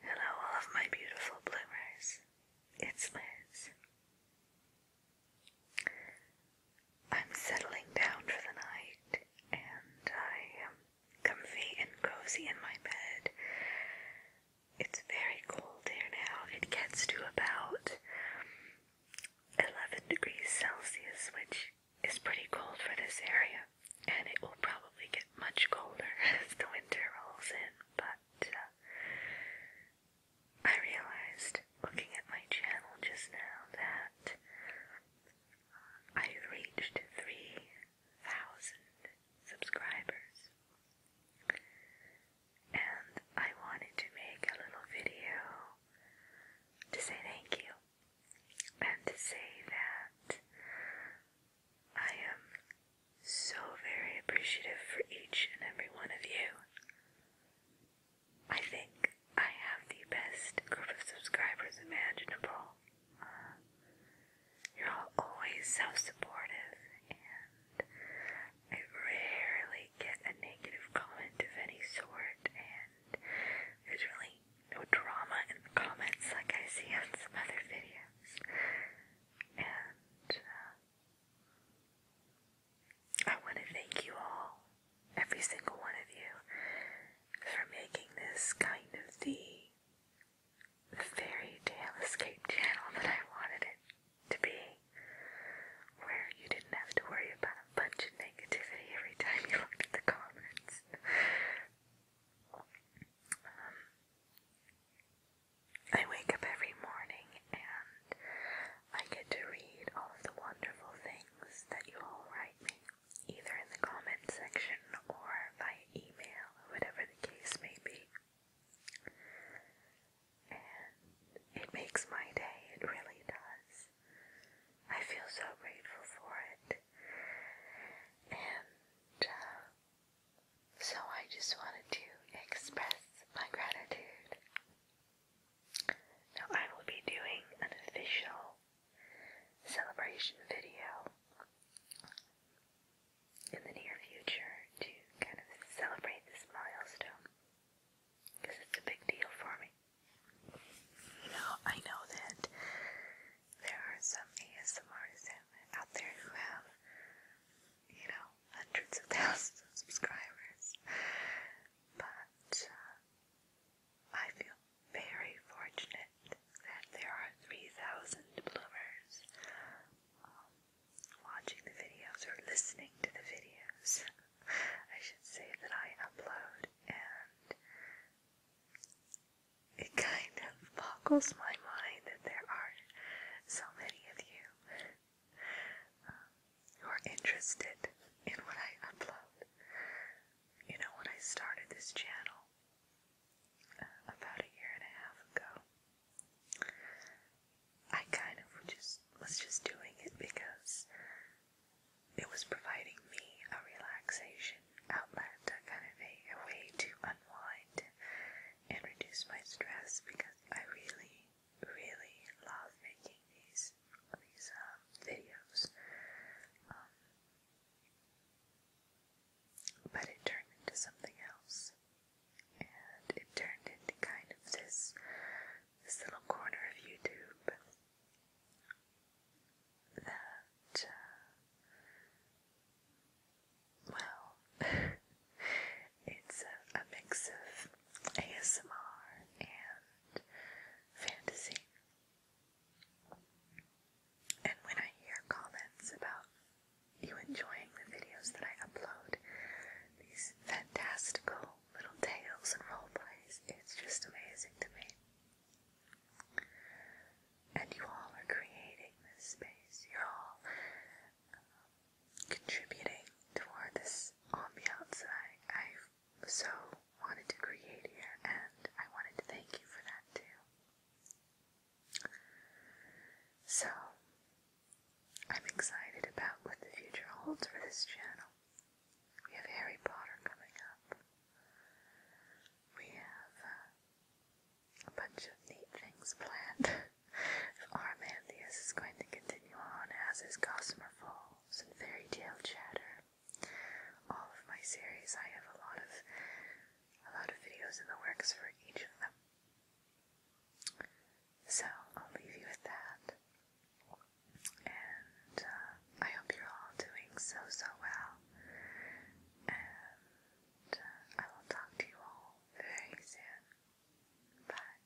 Hello, all of my beautiful bloomers. It's Liz. I'm settling down for the night and I am comfy and cozy in my bed. It's very cold here now. It gets to about 11 degrees Celsius, which is pretty cold for this area, and it will probably get much colder as the winter rolls in. But uh, I realized looking at my channel just now that I've reached 3,000 subscribers and I wanted to make a little video to say thank you and to say that I am so very appreciative for each and every one of you. I think I have the best group of subscribers imaginable. you're all always so supportive and I rarely get a negative comment of any sort, and there's really no drama in the comments like I see on some other videos. And uh, I want to thank you all, every single one of you, for making this kind of the fairy tale escape channel that I wanted it to be where you didn't have to worry about a bunch of negativity every time you looked at the comments. Um, I wake up every morning and I get to read all of the wonderful things that you all write me, either in the comment section or via email, whatever the case may be. And it makes my day, it really does. I feel so grateful for it. And uh, so I just wanted to express my gratitude. Now I will be doing an official celebration video in the near future to kind of celebrate this milestone because it's a big deal for me. You know, I know that there are some ASMRs out there who have, you know, hundreds of thousands of subscribers, but uh, I feel very fortunate that there are 3,000 bloomers um, watching the videos or listening to the videos, I should say, that I upload, and it kind of boggles my mind that there are so many of you um, who are interested in what I upload. You know, when I started this channel uh, about a year and a half ago, I kind of just was just doing it because it was providing me a relaxation outlet, a kind of a, way to unwind and reduce my stress because I really, really love making these these um, videos. Um, but it turned into something else. And it turned into kind of this this little corner of YouTube that uh, well it's a mix of ASMR and fantasy. And when I hear comments about you enjoying the videos that I upload, these fantastical little tales and role plays, it's just amazing to me. And you all are creating this space. You're all um, contributing toward this ambiance that I, i so wanted to create here, and I wanted to thank you for that too. So, I'm excited about what the future holds for this channel. We have Harry Potter coming up. We have uh, a bunch of neat things planned. Armantheus is going to continue on, as is Gossamer Falls and Fairy Tale Chatter. All of my series, I have a lot of a lot of videos in the works for each of them. So I'll leave you with that. And uh, I hope you're all doing so, so well. And uh, I will talk to you all very soon. Bye.